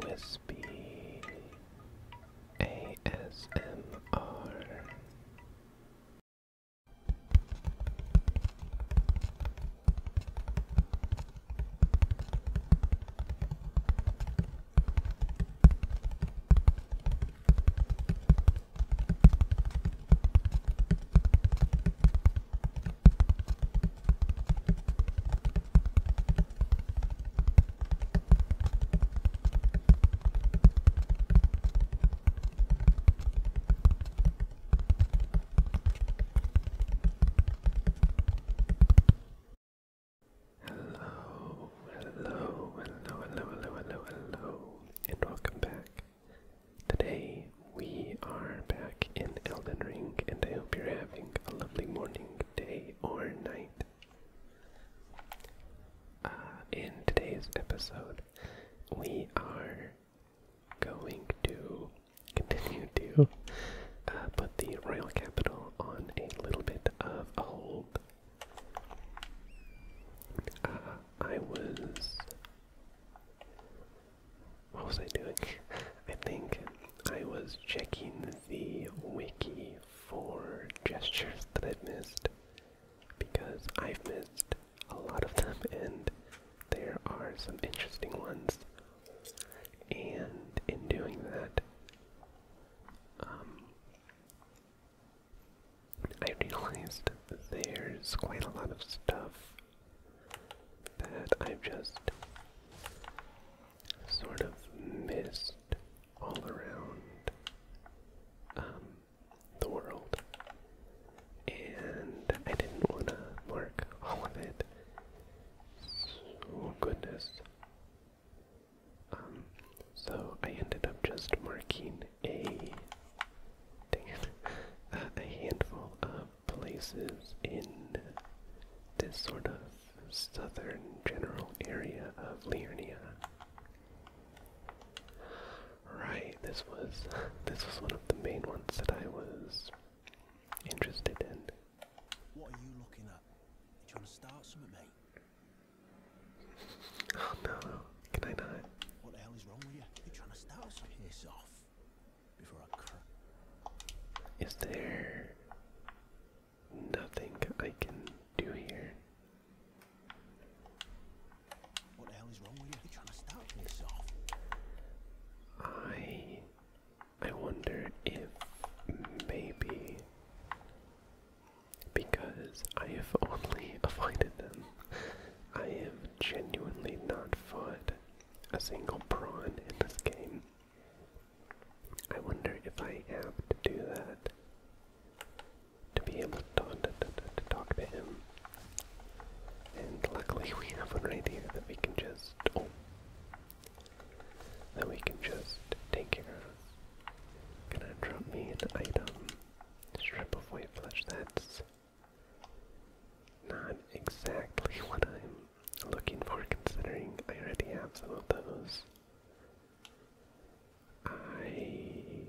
Whispy ASMR. Hello, hello, hello, hello, hello, hello, hello, and welcome back. Today we are back in Elden Ring, and I hope you're having a lovely morning, day, or night. Uh, in today's episode, we are going to continue to uh, put the royal capital on a little bit of a hold. Uh, I was what was I doing? I think I was checking the wiki for gestures that I've missed because I've missed a lot of them and there are some interesting ones. And in doing that, um, I realized there's quite a lot of stuff that I've just sort of mist all around um, the world. And I didn't want to mark all of it. Oh goodness. Um, so I ended up just marking a, a handful of places in this sort of southern general area of Liurnia. Right, this was this was one of the main ones that I was interested in. What are you looking at? you trying to start something, mate? Oh no, can I What the hell is wrong with you? You're trying to start something. Piss off. Is there nothing I can do here? I I wonder if maybe because I have only avoided them, I have genuinely not fought a single prawn in this game. I wonder if I have to do that to be able to, talk to him. And luckily we have one right here that we can just oh that we can just take care of. Can I drop me an item. Strip of white flesh, that's not exactly what I'm looking for considering I already have some of those. I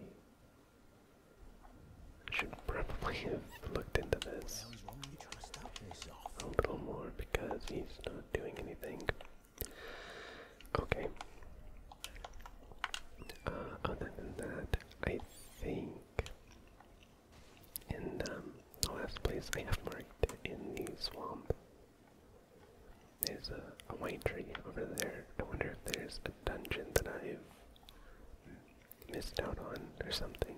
should probably have looked into this a little more because he's not doing anything. Okay. Uh, other than that, I think in um, the last place I have marked in the swamp. There's a, white tree over there. I wonder if there's a dungeon that I've missed out on or something.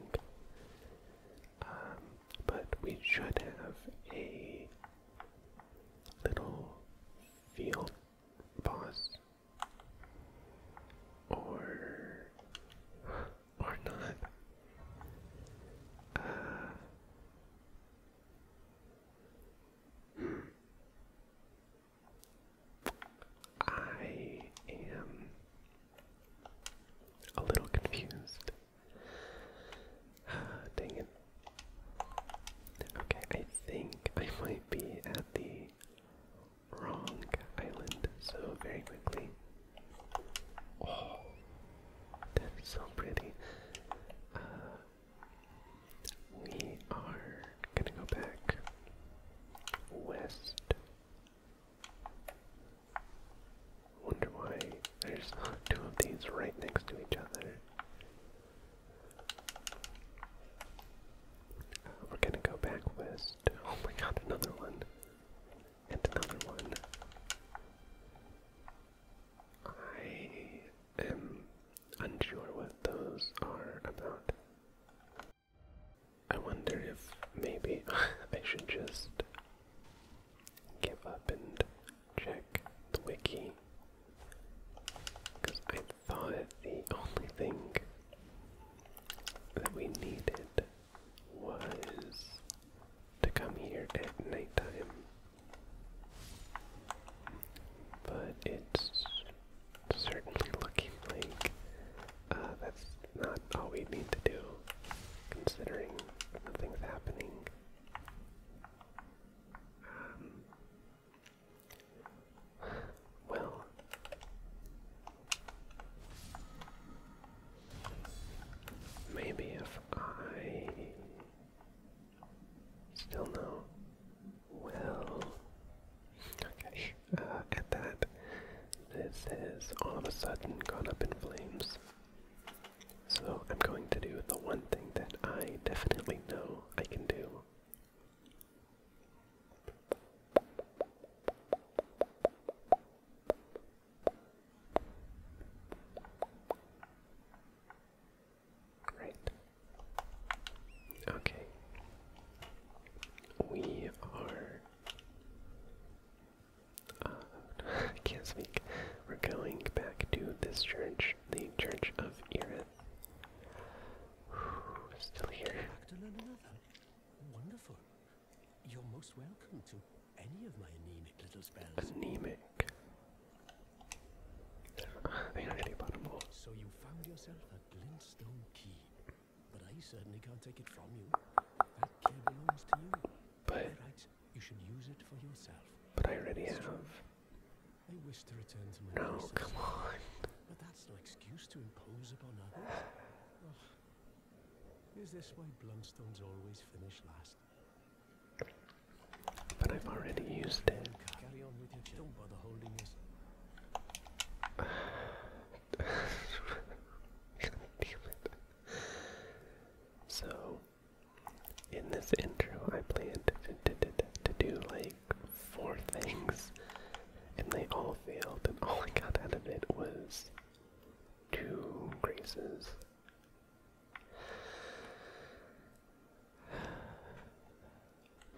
Um, but we should have a little field boss. Or or not. I am a little confused. dang it. Okay, I think I might be at the wrong island, so very quickly. Oh, that's so pretty. Uh, we are gonna go back west. Wonder why there's two of these right next to each other. Uh, we're gonna go back west. Oh my god, another one. And another one. I am unsure what those are about. I wonder if maybe I should just give up and check the wiki. Because I thought the only thing that we needed was to come here at nighttime. But it's certainly looking like uh, that's not all we need to do, considering nothing's happening. Um, well, Maybe if I still know. Well, okay. Uh, at that, this is all of a sudden gone up in flames. So I'm going to do the one thing that I definitely know I can do. Great. Okay. We are. Uh, I can't speak. We're going back to this church, the Church of Erith. Still here. Wonderful. You're most welcome to any of my anemic little spells. Anemic. so you found yourself a glintstone key, but I certainly can't take it from you. That key belongs to you. But You're you should use it for yourself. But I already have. I wish to return to my No, come on. But that's no excuse to impose upon others. Is this why Blunstones always finish last? But I've already used it. Carry not bother it. So, in this intro, I planned to do like four things, and they all failed, and all I got out of it was two graces.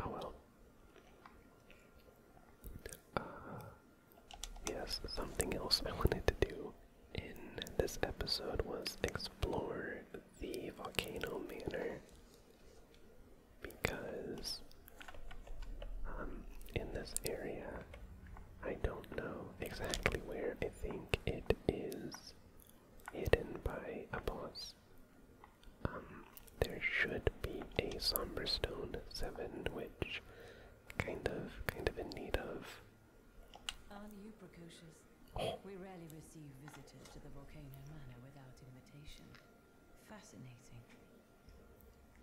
Oh well. Uh, yes, something else I wanted to do in this episode was explore the volcano manor because um, in this area I don't know exactly where. I think it is hidden by a boss. Um, there should be a Somber Stone 7, which kind of, kind of in need of. Aren't you precocious? Oh. We rarely receive visitors to the Volcano Manor without invitation. Fascinating.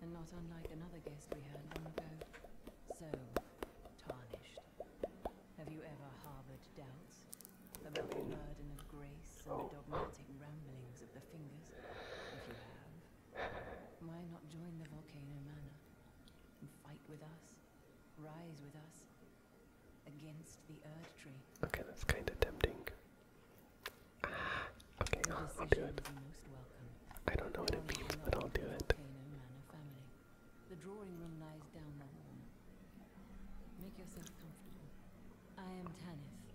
And not unlike another guest we had long ago. So tarnished. Have you ever harbored doubts about the burden of grace and the oh. dogmatic ramblings of the fingers? If you have, why not join the Volcano Manor and fight with us, rise with us against the Erd Tree? Okay, that's kind of tempting. okay, I'll, do it. I don't know what it means, but I'll do it. The drawing room lies down the hall. Make yourself comfortable. I am Tanith,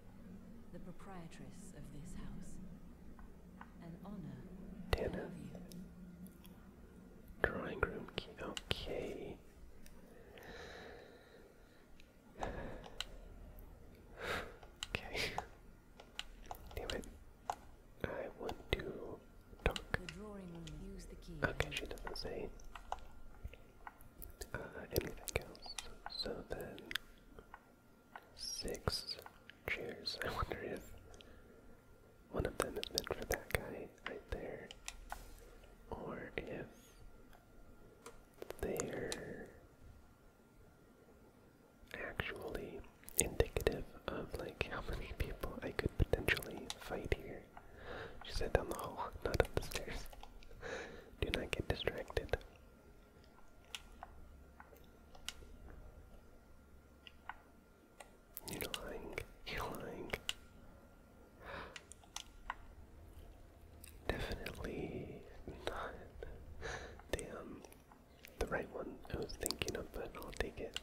the proprietress of this house. An honor Tanith. you. Drawing room Okay. okay. Damn it. I want to talk. Okay, she doesn't say uh, anything else. So then, six chairs. I wonder if one of them is meant for that guy right there, or if they're actually indicative of like how many people I could potentially fight here. She said down the hall, not up the stairs. Do not get distracted. You're lying. You're lying. Definitely not the the right one I was thinking of, but I'll take it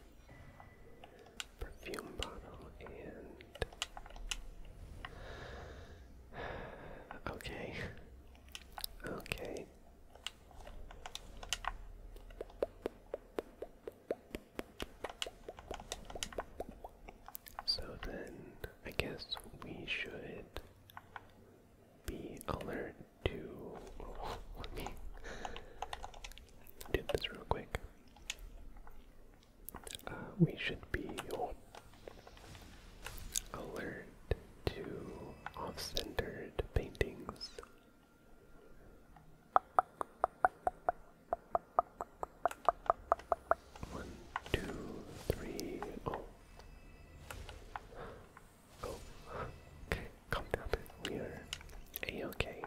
perfume bottle and okay okay so then I guess we should be alert to let me do this real quick. Uh, we should be alert to off-centered paintings. One, two, three, oh. oh okay, calm down. We okay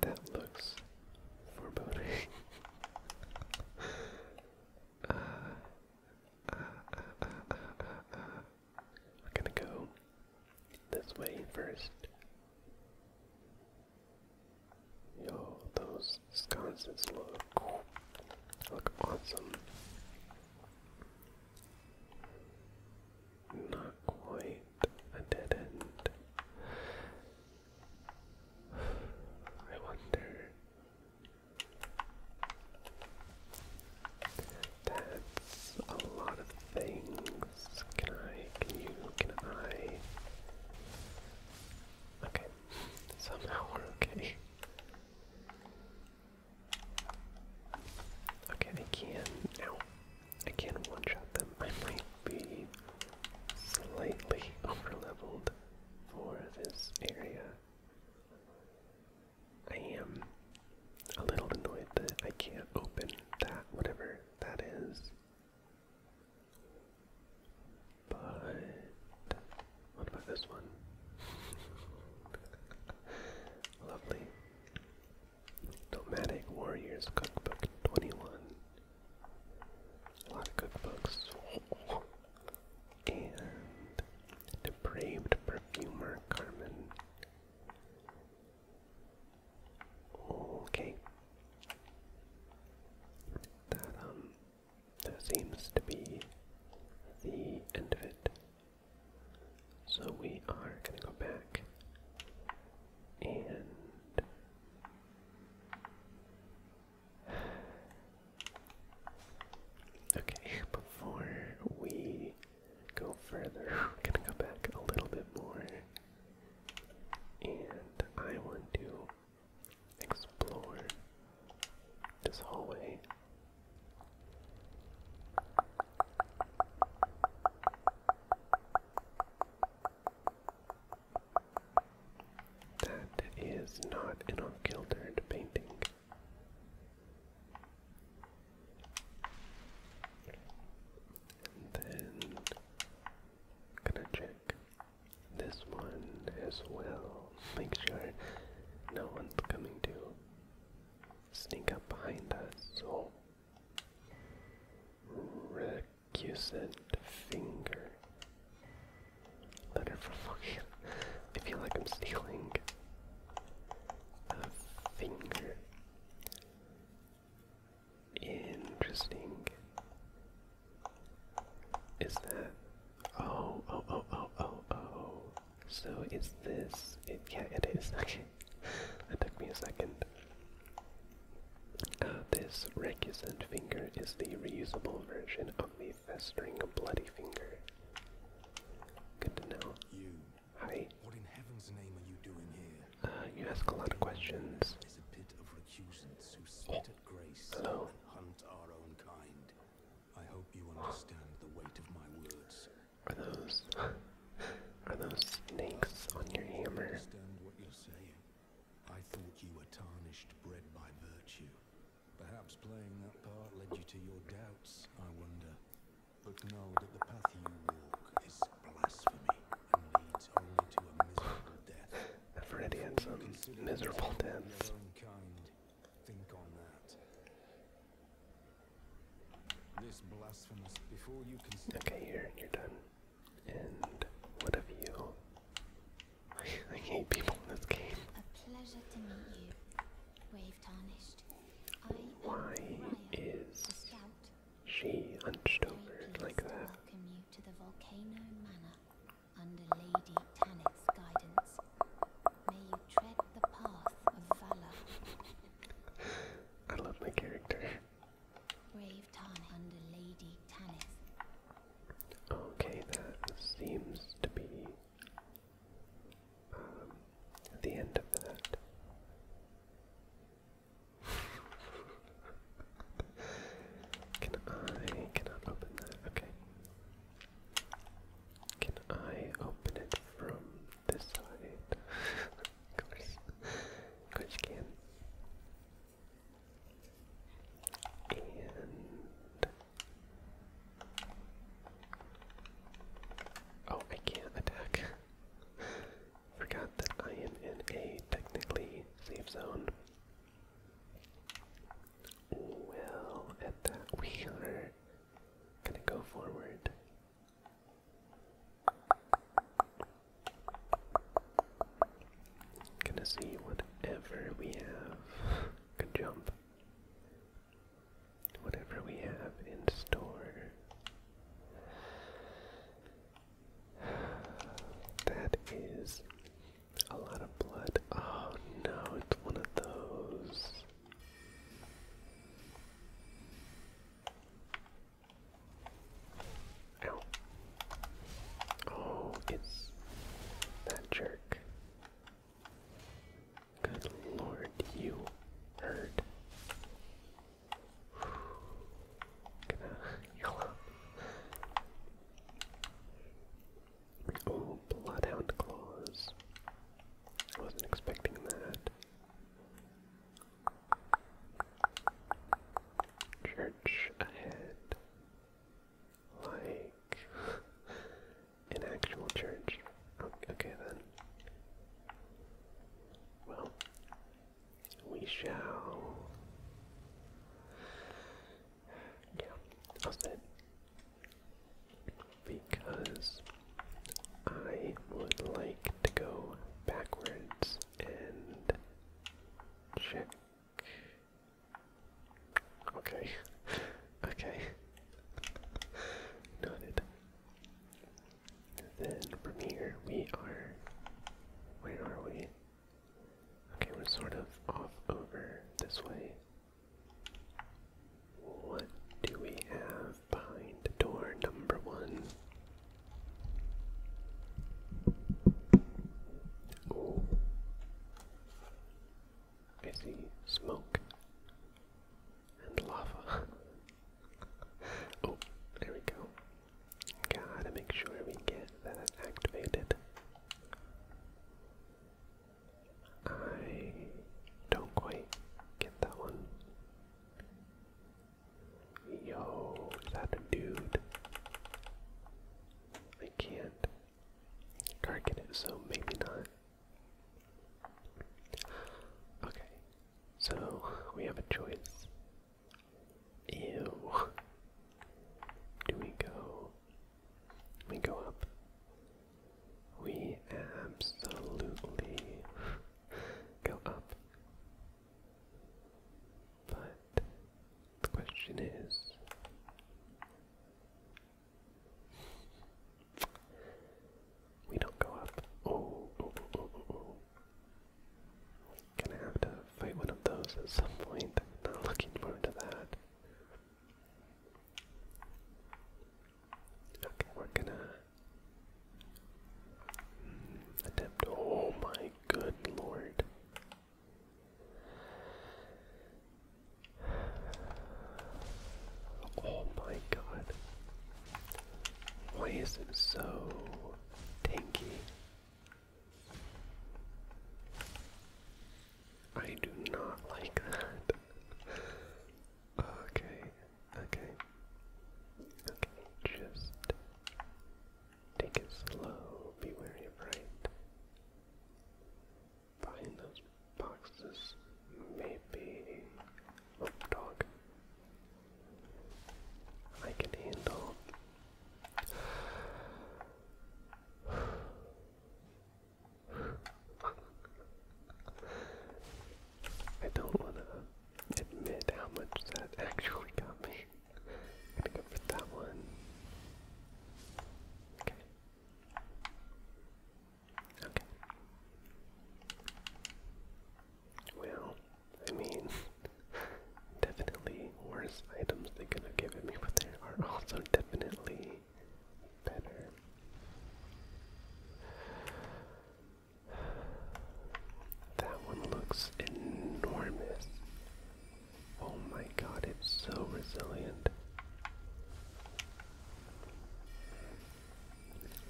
that looks foreboding. uh, uh, uh, uh, uh, uh, We're gonna go this way first. Yo, those sconces look look awesome. Not quite a dead end. I wonder. That's a lot of things. Can I? Can you? Can I? Okay. Somehow we're okay. Okay, I can now. I can one-shot them. I might be slightly over-leveled for this area. I am a little annoyed that I can't open that, whatever that is. But what about this one? Lovely. Nomadic Warriors Cookbook 21. A lot of cookbooks. And Depraved Perfumer Carmen. Okay. That, um, that seems to be the end of it. So we are going to go back and Okay, before we go further, going to go back a little bit more and I want to explore this hallway that is not an unfiltered painting. then gonna check this one as well. Make sure no one's coming to sneak up behind us. Oh. Recusant finger. Letter for fucking. I feel like I'm stealing finger. Interesting. Is that? Oh, oh, oh, oh, oh, oh. So is this Yeah, it is. Okay, that took me a second. Uh, this recusant finger is the reusable version of the festering bloody finger. Good to know. You. Hi. What in heaven's name are you doing here? Uh, you ask a lot of questions. Is a pit of recusants who oh, spit at grace Hello. and hunt our own kind. I hope you understand the weight of my words. Are those are those snakes on your hammer? understand what you're saying. I thought you were bred by virtue. Perhaps playing that part led you to your doubts, I wonder. But know that the path you walk is blasphemy and leads only to a miserable death. I've some um, miserable deaths. This blasphemous before you can Okay, here, you're done. And what have you? I hate people in this game. Why is she hunched over like that? I love my character. Brave Tarn under Lady Tanith. Okay, that seems to be um, the end of that. Can I cannot open that? Okay. Can I open it from this side. of course. Of can. And oh, I can't attack. Forgot that I am in a technically safe zone. Well, at that we gonna go forward Gonna see whatever we have. Good jump. Whatever we have in store. That is a lot of blood. Oh no, it's one of those. Ow. Oh, it's that jerk. Good lord, you hurt. Gonna heal Oh, bloodhound claws. wasn't expecting that. Church ahead. Like an actual church. Okay then. Well, we shall. Yeah, I'll say because I would like to go backwards and check. Okay, okay, noted. Then from here we are. Where are we? Okay, we're sort of off over this way. What do we have behind the door number one? Oh, I see smoke and lava. oh, there we go. Gotta make sure we get that activated. I don't quite get that one. Yo, is that a dude? I can't get it, so maybe not. Okay, so we have a choice. Ew. Do we go? We go up. We absolutely go up. But the question is we don't go up. Oh, Gonna have to fight one of those at some point. Not looking forward to that. Okay, we're gonna attempt. Oh my good lord. Oh my god. Why is it so tanky? I do not like that. Okay, okay. Okay, just take it slow, be wary of right. Behind those boxes, maybe. Oh, dog. I can handle. I don't want to admit how much that actually got me. I'm gonna go for that one. Okay. Okay. Well, I mean, definitely worse items they could have given me, but there are also definitely better. That one looks enormous. Oh my god, it's so resilient.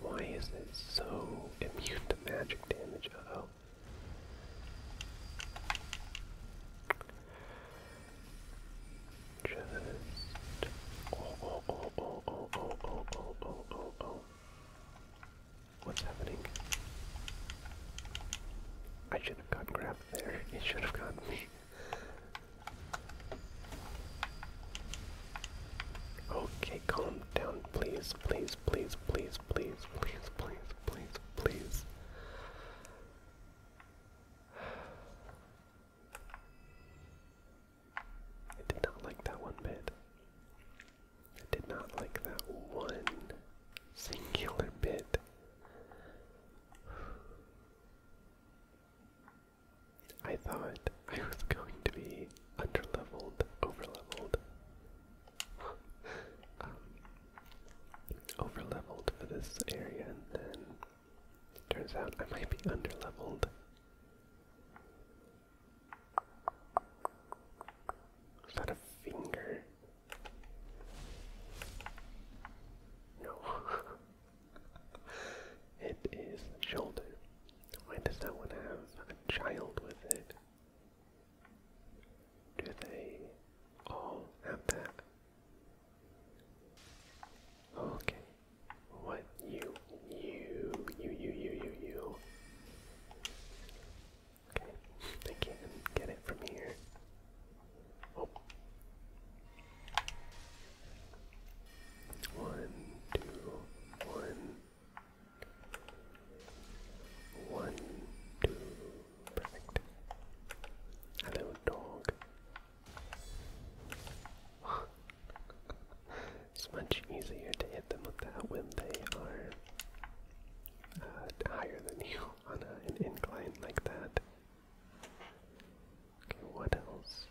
Why is it so immune to magic damage? oh. Just. oh. oh, oh, oh What's happening? I should have gotten grabbed there. It should have gotten me. Okay, calm down, please, please, please, please, please, please, please, please, please. I did not like that one bit. I did not like that one singular bit. I thought I was going to be underleveled, overleveled. um, overleveled for this area, and then turns out I might be underleveled. Is that a finger? No. it is a shoulder. Why does that one have a child with it? Do they all have that? Okay. What you you, you, you, you, you, you. Okay, they can't get it from here. Oh. perfect. Hello, dog. It's much easier to hit them with that when they are uh, higher than you on an incline like that. Okay, what else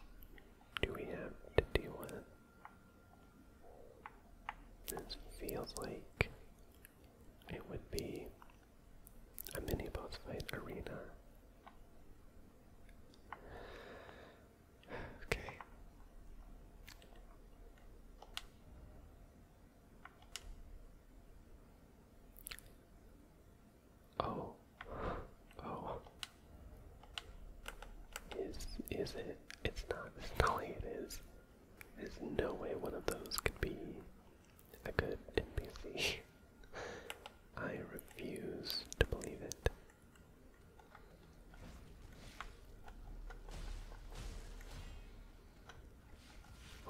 do we have to deal with? feels like it would be a mini boss fight arena. Okay. Oh. Oh. Is is it? It's not. Smelly it is. There's no way one of those could be a good NPC. I refuse to believe it.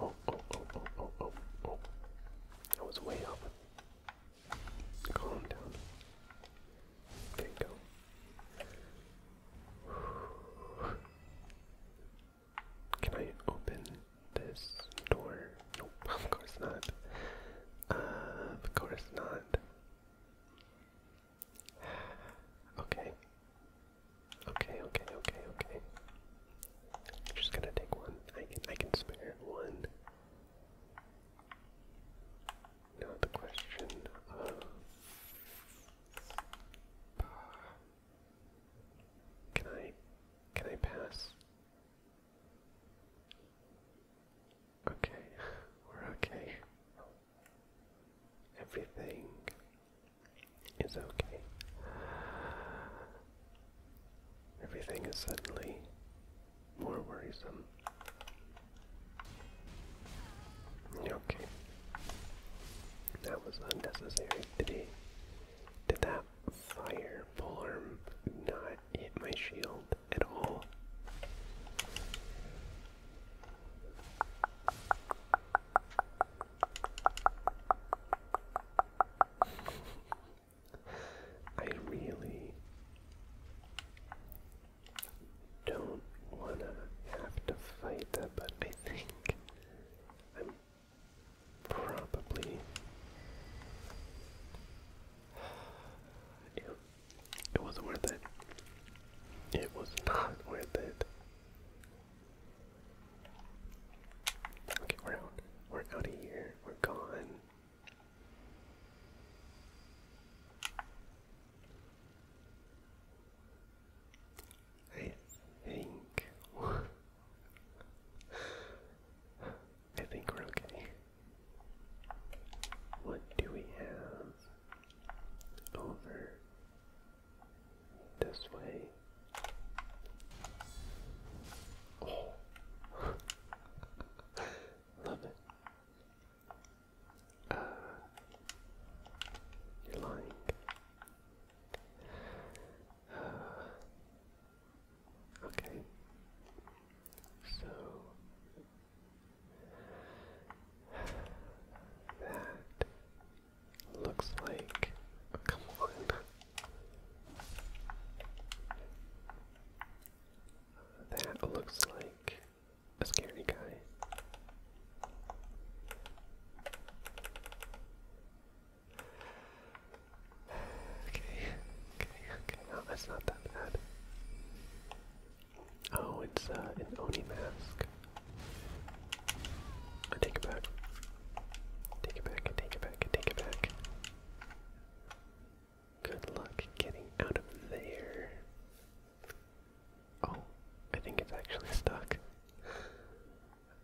Oh, oh, oh, oh, oh, oh, oh. That was way up. Calm down. There you go. Can I open this door? Nope, of course not. Uh, of course not. Okay. Okay, okay, okay, okay. Just gonna take one. I can I can spare one. Now the question of uh, Can I can I pass? Okay, we're okay. Everything is okay. Everything is suddenly more worrisome. Okay. That was unnecessary. Did did that fire not hit my shield at all? I really don't want to have to fight that, but I think I'm probably. It wasn't worth it. It was not worth it. Okay, we're out. We're out of here. We're gone. I think I think we're okay. What do we have? over this way. Oh. Love it. Uh, you're lying. okay. So that looks like. come on. That looks like a scary guy. Okay, okay, okay. No, that's not that bad. Oh, it's an uh, Oni mask. take it back. Take it back, take it back, take it back. Good luck getting out of there. Oh, I think it's actually stuck.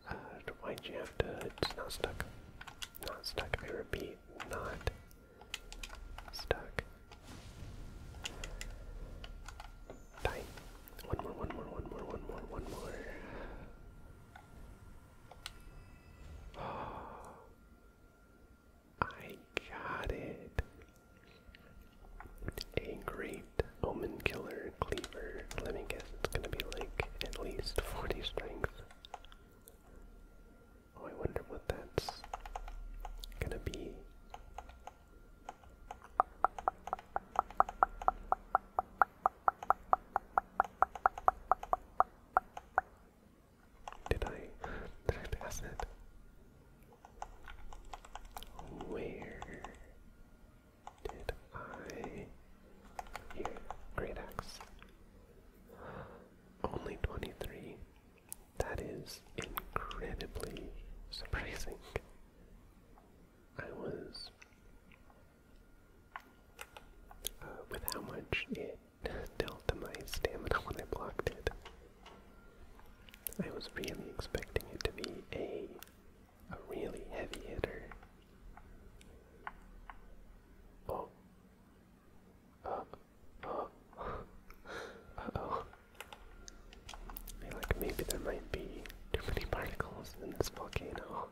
Uh, why'd you have to? It's not stuck. Not stuck. I repeat, not stuck. Time. One more, one more, one more, one more, one more. Oh, I got it. A great omen killer cleaver. Let me guess it's gonna be like at least 40 strength. Oh, I wonder what that's gonna be. Did I did I pass it? Where did I here? Great axe. Only twenty-three. That is incredibly surprising. I was uh, with how much it dealt to my stamina when I blocked it. I was really expecting it to be a a really heavy hitter. Oh. Uh, uh. oh like maybe there might be too many particles in this volcano.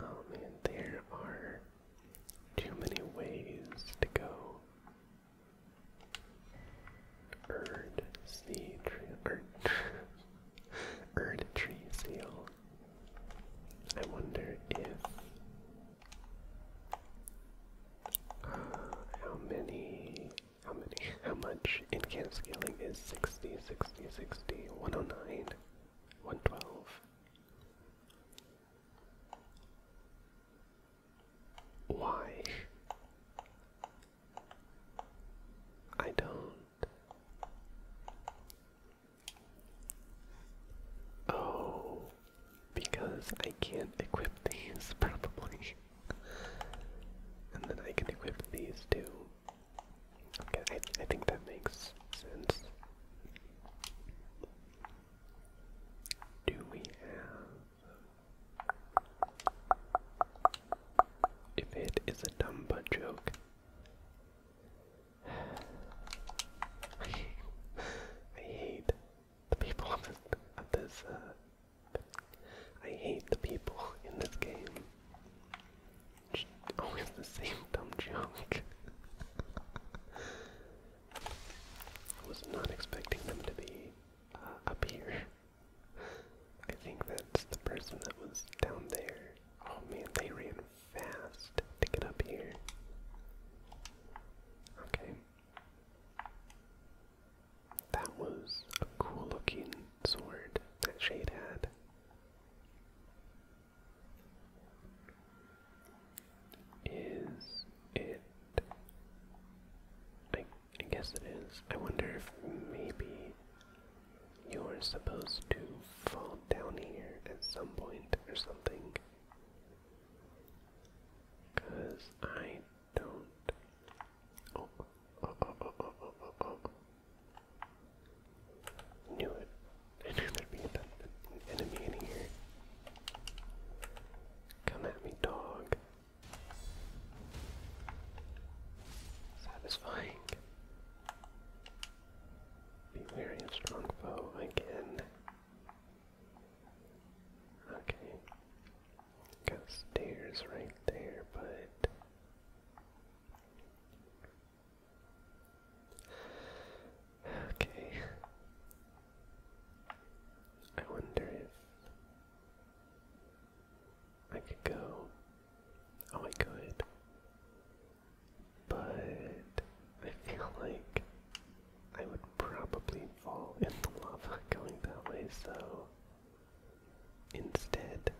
Oh man, there are too many ways to go. Erd sea tree, erd, erd tree I wonder if how many? How many? How much in can scaling is 60, 60, 60, 109, 112? Why? I don't. Oh, because I can't equip these probably. and then I can equip these too. Okay, I, I think that makes sense. Do we have. If it is a dumb butt joke. I hate the people of this, uh, I hate the people in this game. always oh, the same dumb junk. I was not expecting them to be uh, up here. I think that's the person that was down there. Oh man, they ran fast to get up here. Okay. That was a cool looking sword that Shade had. Is it? I, I guess it is. I wonder if maybe you're supposed to fall down here at some point or something. Because I don't. Oh, oh, oh, oh, oh, oh, oh, Knew it. knew there'd be an enemy in here. Come at me, dog. Satisfying. Be wary of strong foe again. Okay. Got stairs right there, but okay. I wonder if I could go. Oh, I could, but I feel like I would probably fall in the lava going that way, so instead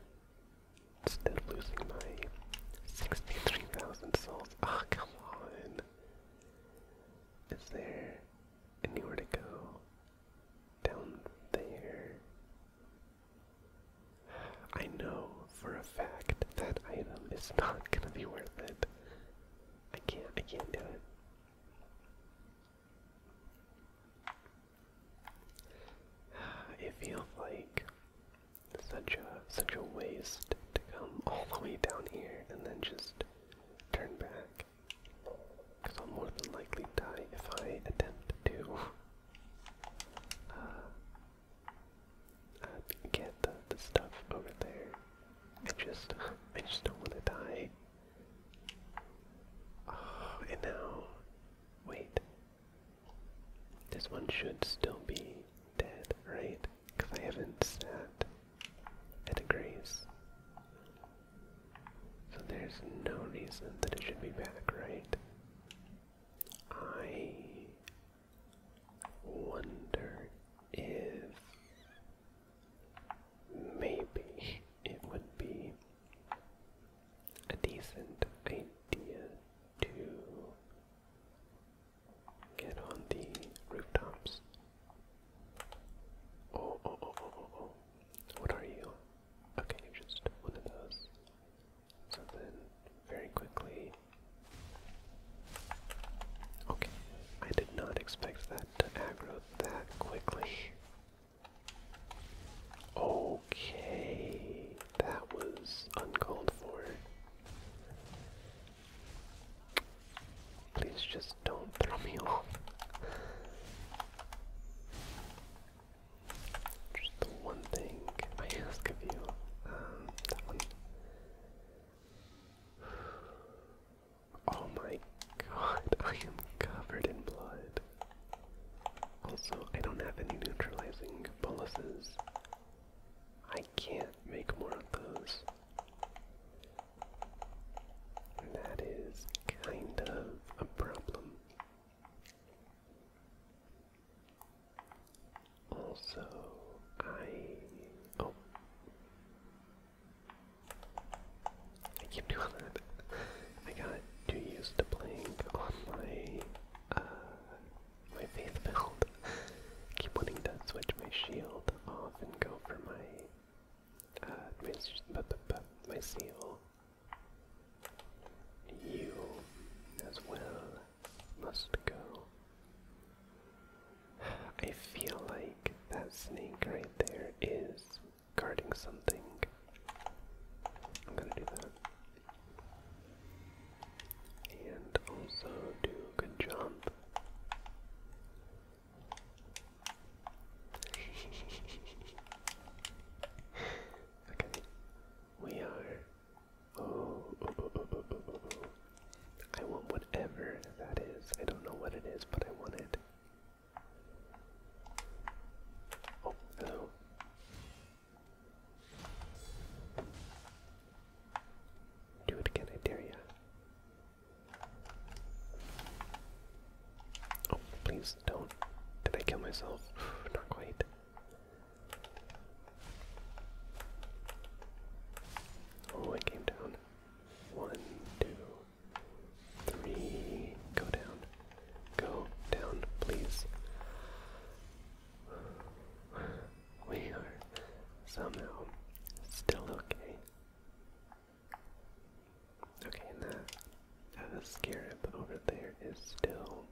instead of losing my 63,000 souls, ah oh, come on. Is there anywhere to go? Down there. I know for a fact that item is not gonna be worth it. I can't I can't do it. It feels like such a such a waste to come all the way down here and then just turn back. Because I'll more than likely die if I attempt to uh, uh, get the, the stuff over there. I just I just don't want to die Oh, and now, wait. This one should still be dead, right? Because I haven't sat at a grace. So there's no reason that it should be back, right? I wonder if maybe it would be a decent idea to get on the rooftops. Oh, oh, oh, oh, oh, What are you? Okay, you're just one of those. So then, very quickly. Okay, I did not expect that to aggro that quickly. Okay, that was uncalled for. Please just don't throw me off. Just the one thing I ask of you. Um, Oh my god, I am covered in blood. Also, I don't have any neutralizing boluses. I can't make more of those. that is kind of a problem. Also, I. Oh. I keep doing that. I got too used to playing on my, uh, my faith build. keep wanting to switch my shield off and go for my, uh, my, but, my seal. You, as well, must go. I feel like that snake right there is guarding something. I'm gonna do that. And also do a good jump. okay. We are. Oh, oh, oh, oh. I want whatever that is. I don't know what it is, but I want it. Oh, hello. Do it again, I dare you. Oh, please don't. Did I kill myself? Not quite. Oh, I came down. One, two, Three. Go down. Go down, please. We are somehow still okay. Okay, and that uh, scarab over there is still,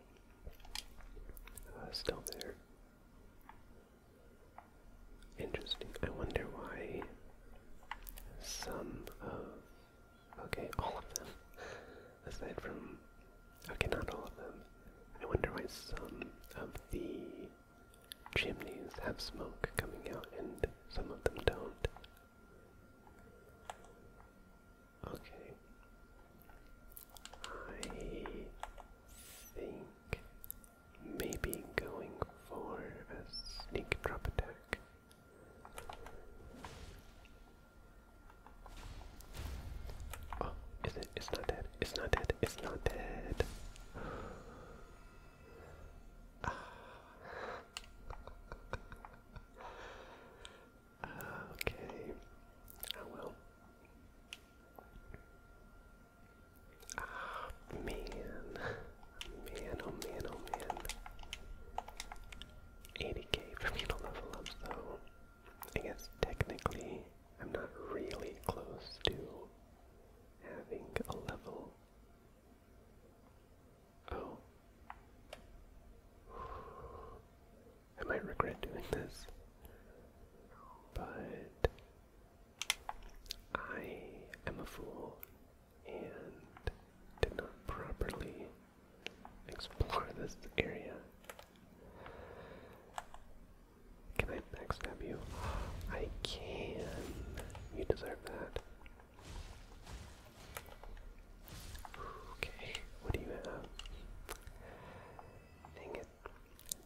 uh, still there. Interesting. I wonder why some of Okay, all of them. Aside from. Okay, not all of them. I wonder why some of the chimneys have smoke coming out and some of them don't. Okay. I think maybe going for a sneak drop attack Oh, is it? It's not dead. It's not dead. It's not dead. Ah. okay. Oh well. Ah, man. Man, oh man, oh man. 80k for me to level up, so I guess technically I'm not really close to having a level. Oh. I might regret doing this, but I am a fool and did not properly explore this area. Can I backstab you? I can. You deserve that. Okay, what do you have? Dang it.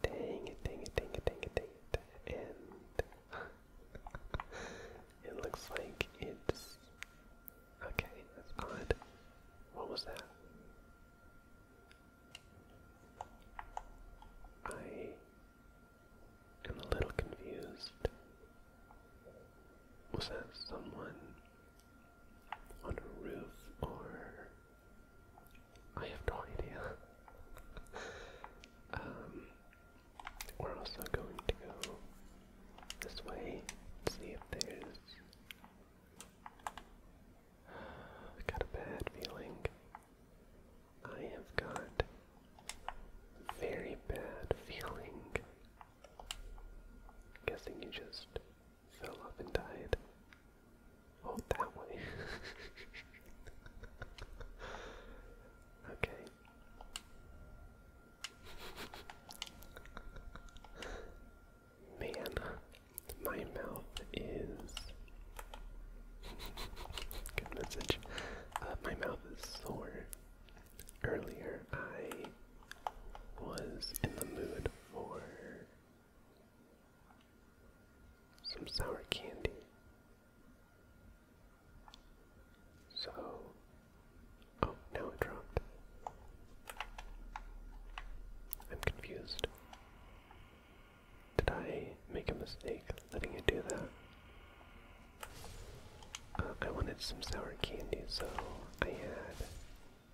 Dang it, dang it, dang it, dang it, dang it. And it looks like it's okay. That's odd. What was that? I am a little confused. Was that someone on a roof or? I have no idea. um, we're also going to go this way, see if there's. I have got a bad feeling. I have got very bad feeling. Guessing you just fell off and died. Oh, that way. okay. Man, my mouth is. Good message. Uh, my mouth is sore. Earlier, I was in the mood for some sour candy. So, oh, now it dropped. I'm confused. Did I make a mistake letting it do that? Uh, I wanted some sour candy, so I had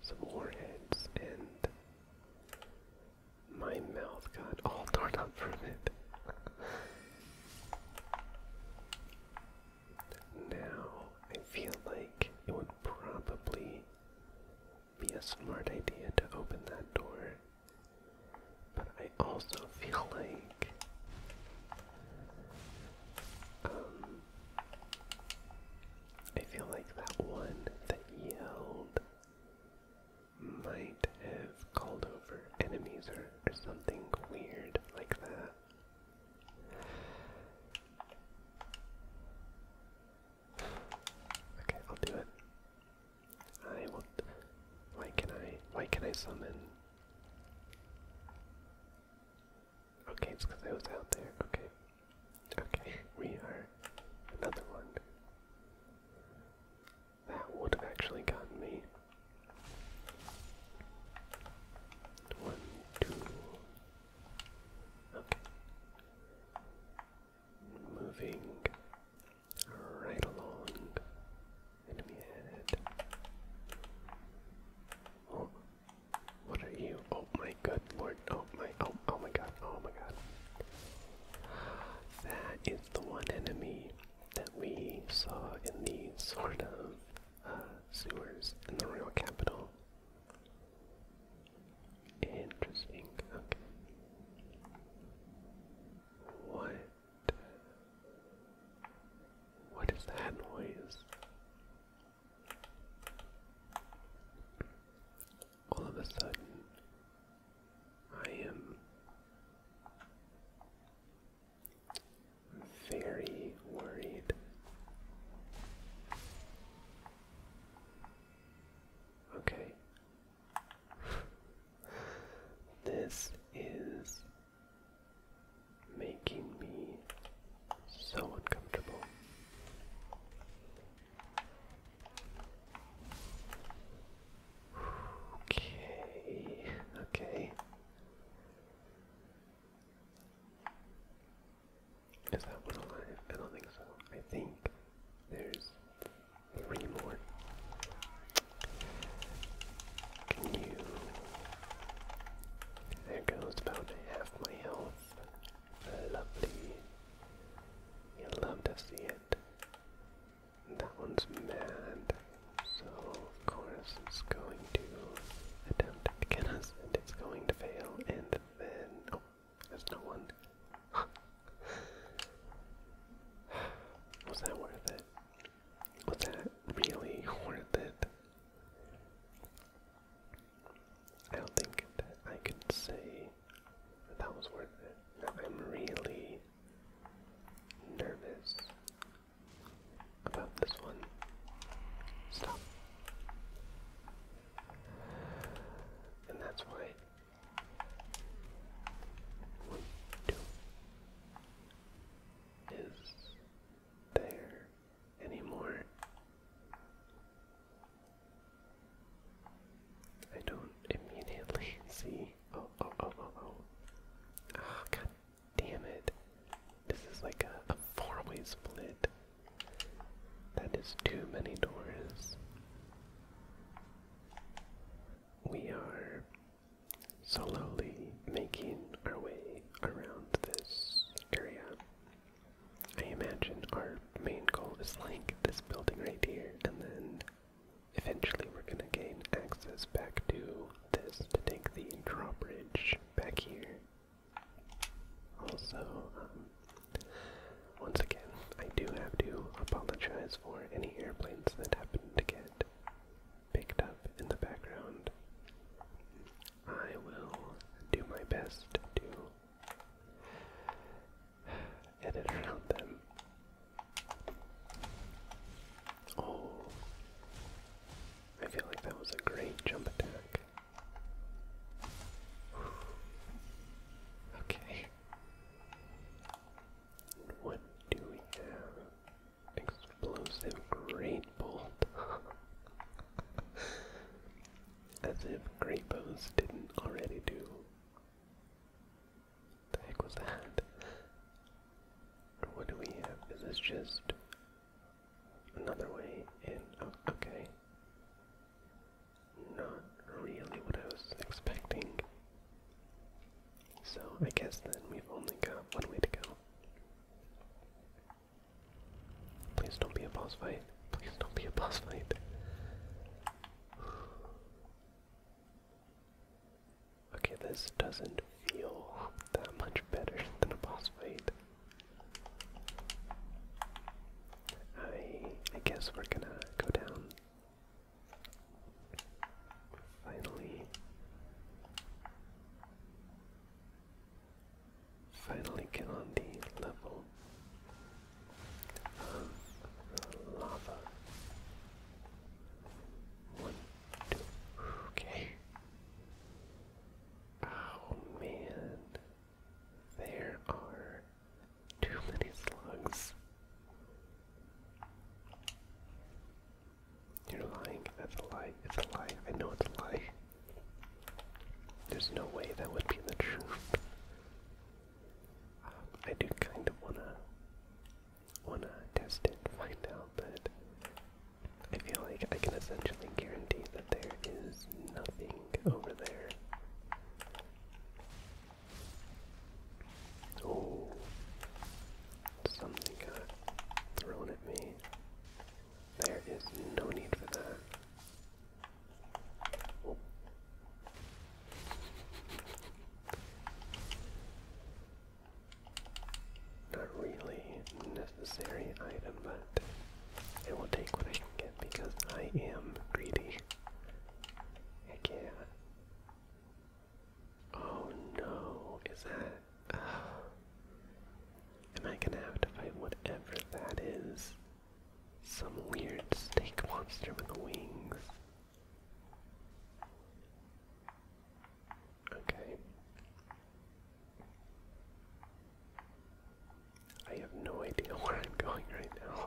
some warheads, and my mouth got all torn up from it. Now, I feel like it would probably be a smart idea to open that door, but I also feel like um I feel like that one that yelled might have called over enemies or, or something weird like that. Okay, I'll do it. I will. Why can I? Why can I summon? Okay, it's because I was out there. Okay. Okay, we are another one. That would have actually gotten me. One, two. Okay. Moving right along. Enemy head. Oh, what are you? Oh my good lord. Oh my, oh, oh my god. Oh my god. That is the one enemy that we saw in the sort of uh, sewers in the royal capital. Interesting. Okay. What? What is that noise? All of a sudden, I am very worried. Okay. this is making me so uncomfortable. Okay, okay. Is that one alive? I don't think so. I think there's three more. Can you? There goes about half my health. Lovely. You love to see it. That one's mad, so of course, is going to attempt to get us, and it's going to fail, and then... Oh, there's no one. Was that worth it? Was that really worth it? I don't think that I could say that, that was worth it. I'm really nervous about this one. Stop. And that's why. One, two. Is there anymore? I don't immediately see. Oh, oh, oh, oh, oh. Oh, god Damn it. This is like a, four way split. That is too many doors. We are slowly making our way around this area. I imagine our main goal is like this building right here, and then eventually we're gonna gain access back to this to take the drawbridge back here. Also, um, once again, I do have to apologize for any airplanes that happen to get picked up in the background. I will do my best to edit around them. Oh, I feel like that was a great jump attack. Okay. What do we have? Explosive Great Bolt. As if Great Bows didn't already do. The heck was that? What do we have? Is this just Another way in. Oh, okay. Not really what I was expecting. So I guess then we've only got one way to go. Please don't be a boss fight. Please don't be a boss fight. Okay, this doesn't feel that much better than a boss fight. I I guess we're gonna go down. Finally. Finally get on the level lava. One, two, okay. Oh man, there are too many slugs. You're lying. That's a lie. It's a lie. I know it's a lie. There's no way that would be the truth. Um, I do kind of wanna wanna test it, find out that I feel like I can essentially guarantee that there is nothing over there. Oh, something got thrown at me. There is no need for that. Not really unnecessary item, but I will take what I can get because I am greedy. Heck yeah. Oh no, is that... am I gonna have to fight whatever that is? Some weird snake monster with wings. Okay. I have no idea where I'm going right now.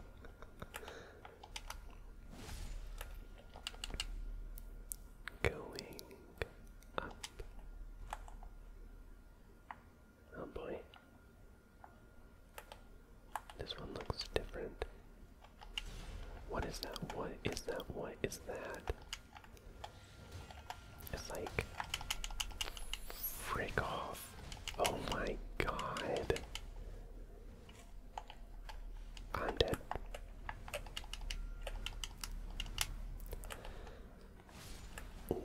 going up. Oh boy. This one looks different. What is that? What is that? What is that? It's like, frick off. Oh my god. I'm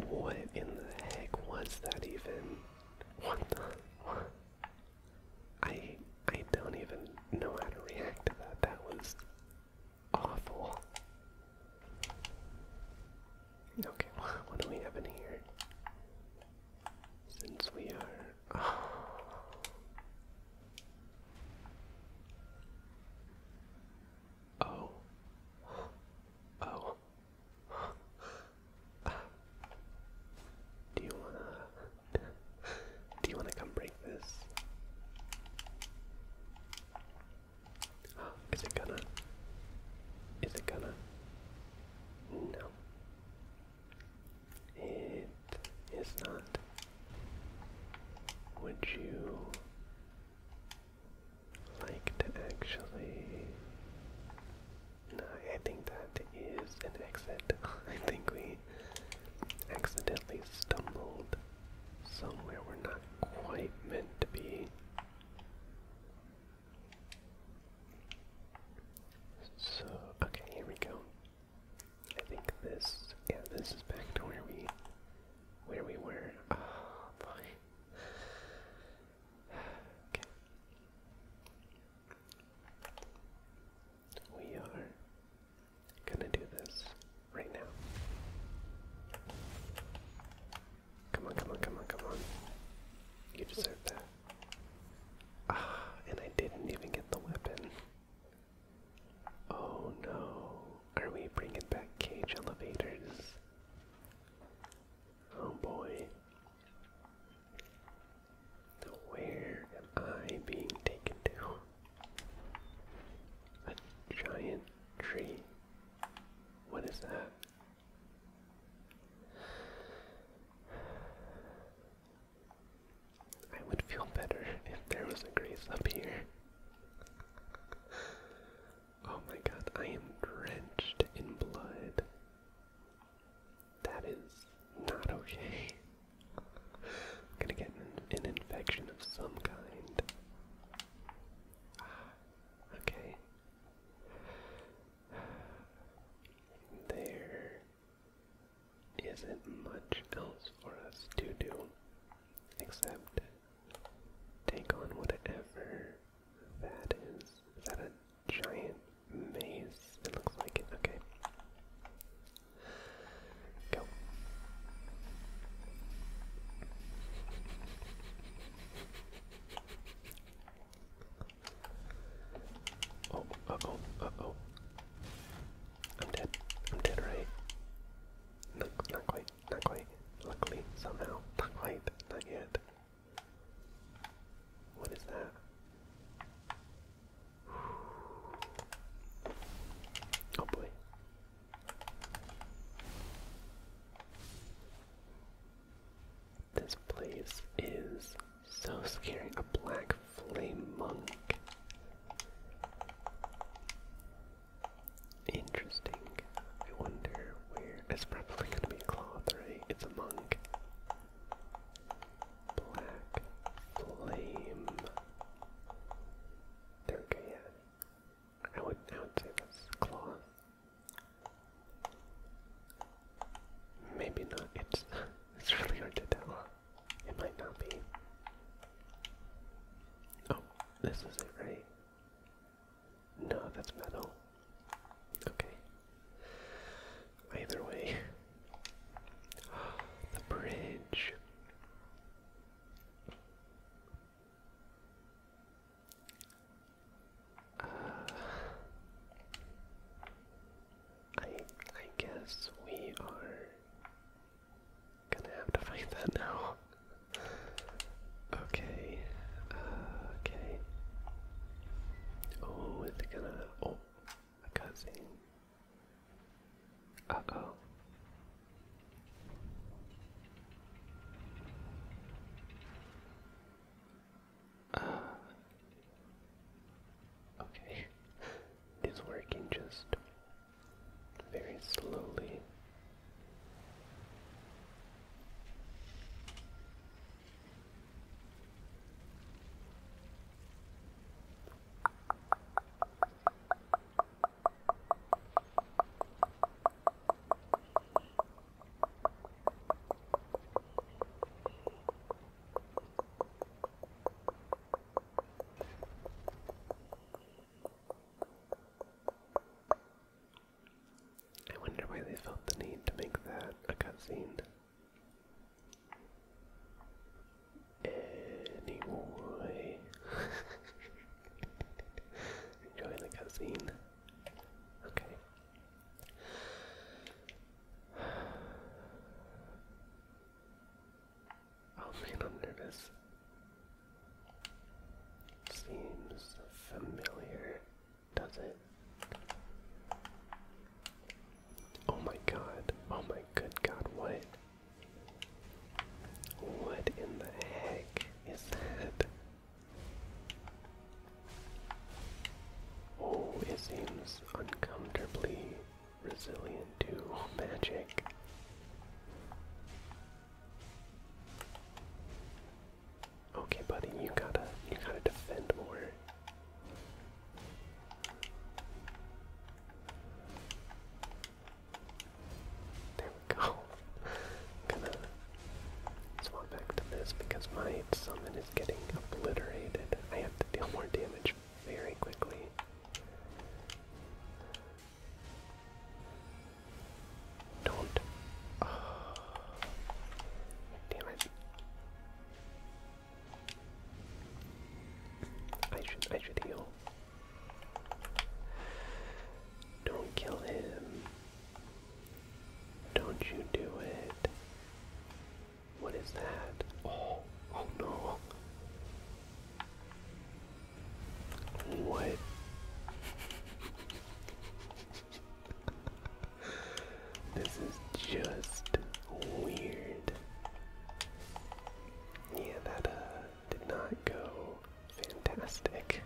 What in the heck was that even? What the? I I don't even know how to react to that. That was awful. Okay, what do we have in here? Since we are. Oh. Oh. Do you wanna do you wanna come break this? Is it gonna? Is it gonna? No. It is not. Would you like to actually? No, I think that is an exit. I think we accidentally stumbled somewhere we're not quite meant to be. So, okay, here we go. I think this, yeah, this is back to where we, where we were. Oh, ah, boy. Okay. We are gonna do this right now. Come on, come on, come on, come on. You deserve that. Ah, and I didn't even get the weapon. Oh no. Are we bringing back cage elevators? Oh boy. Where am I being taken to? A giant tree. What is that? I would feel better if there was a grace up here. Oh my god, I am drenched in blood. That is not okay. I'm gonna get an, infection of some kind. Ah. Okay. There isn't much else for us to do except take on whatever that is. Is that a giant maze? It looks like it. Okay. Go. Oh, uh oh, oh. I'm dead. I'm dead, right? Not, not quite, not quite. Luckily, somehow. Not quite, not yet. What is that? Oh boy. This place is so scary. A black flame monk. Interesting. I wonder where. It's probably going to be a cloth, right? It's a monk. Black flame. Okay, I would, I would say that's cloth. Maybe not. It's it's really hard to tell. It might not be. Oh, this is it, right? No, that's metal. Okay. Either way, the bridge. Uh, I I guess we are gonna have to fight that now. okay, uh, okay. Oh, is gonna? Oh, a cutscene. Uh oh. Uh, okay, it's working just very slowly. I wonder why they felt the need to make that a cutscene. Anyway, enjoy the cutscene. Okay. Oh I'm nervous. Seems familiar, does it? Oh my god, oh my good god, what? What in the heck is that? Oh, it seems uncomfortably resilient to magic. Okay, buddy, you gotta you gotta defend more go. i gonna swap back to this because my summon is getting obliterated. I have to deal more damage very quickly. Don't. Damn it. I should I should heal. Don't kill him. Don't you do it. What is that? Oh, oh no. What? this is just weird. Yeah, that uh, did not go Fantastic.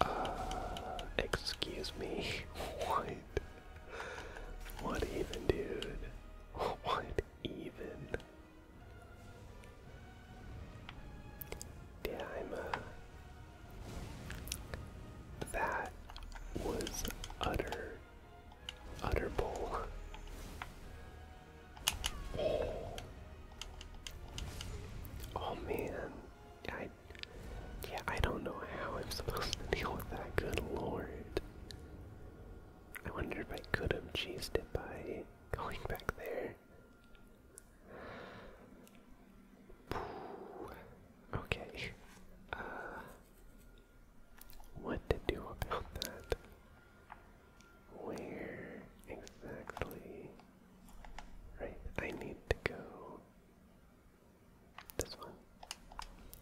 Uh, excuse me. what? What even, dude? What even? Yeah, uh, That was utter, utter bull. oh man, I, yeah, I don't know how I'm supposed to deal with that. Good lord. I wonder if I could have cheesed it by going back there. Okay. Uh, what to do about that? Where exactly? Right, I need to go this one.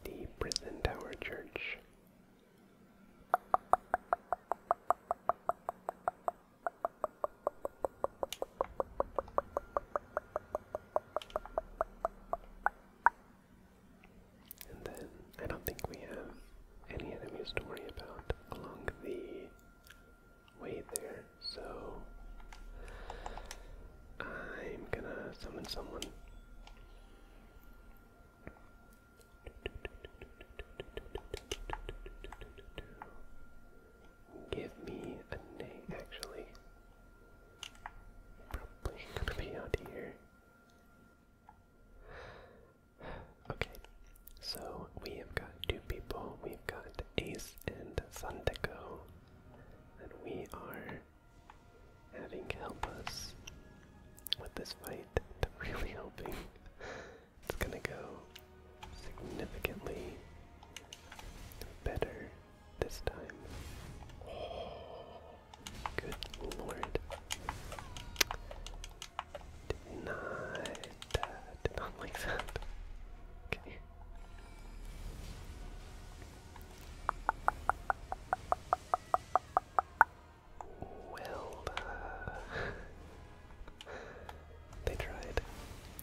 The Prison Tower Church. And then I don't think we have any enemies to worry about along the Wait there. So I'm gonna summon someone. Give me a name, actually. Probably gonna be out here. Okay, so we have got two people. We've got Ace and Sandeko and we are having help us with this fight. I'm really hoping it's gonna go significantly better this time. good lord. Did well, they tried.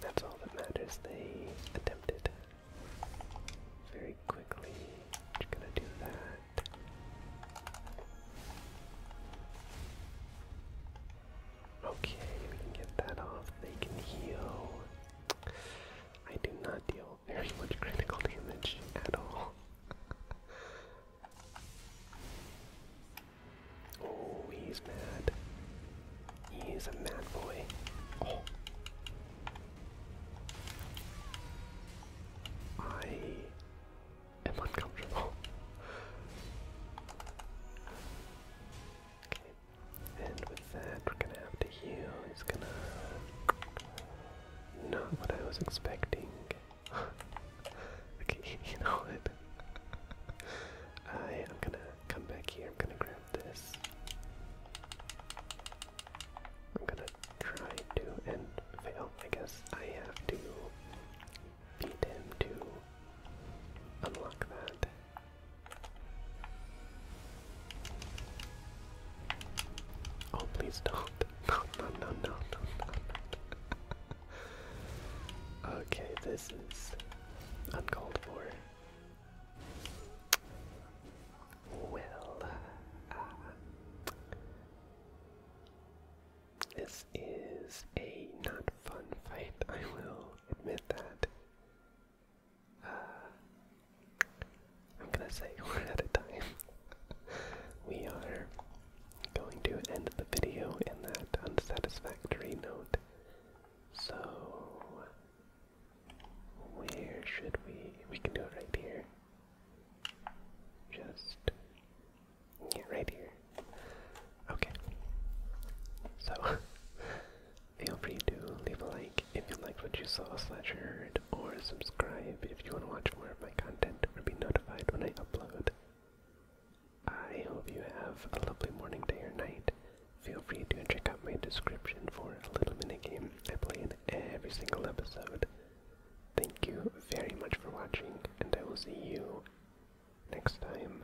That's all that matters. They attempted very quickly. Just gonna do that. Okay, we can get that off. They can heal. I do not deal very much critical damage at all. oh, he's mad. He's a mad boy. Oh. I am uncomfortable. And with that, we're gonna have to heal. He's gonna. Not what I was expecting. okay, you know what? I am gonna come back here. I'm gonna grab this. I'm gonna try to and fail. I guess I have to beat him to unlock that. Oh, please don't. No, no, no, no, okay, this is uncalled for. Well, uh, this is a not fun fight, I will admit that. I'm gonna say one at a time. we are going to end the video in that unsatisfactory note. So, where should we? We can do it right here. Just, yeah, right here. Okay. So, feel free to leave a like if you liked what you saw slash heard, or subscribe if you want to watch more of my content or be notified when I upload. I hope you have a lovely morning, day, or night. Feel free to check out my description for a little mini game I play in every single episode. Thank you very much for watching, and I will see you next time.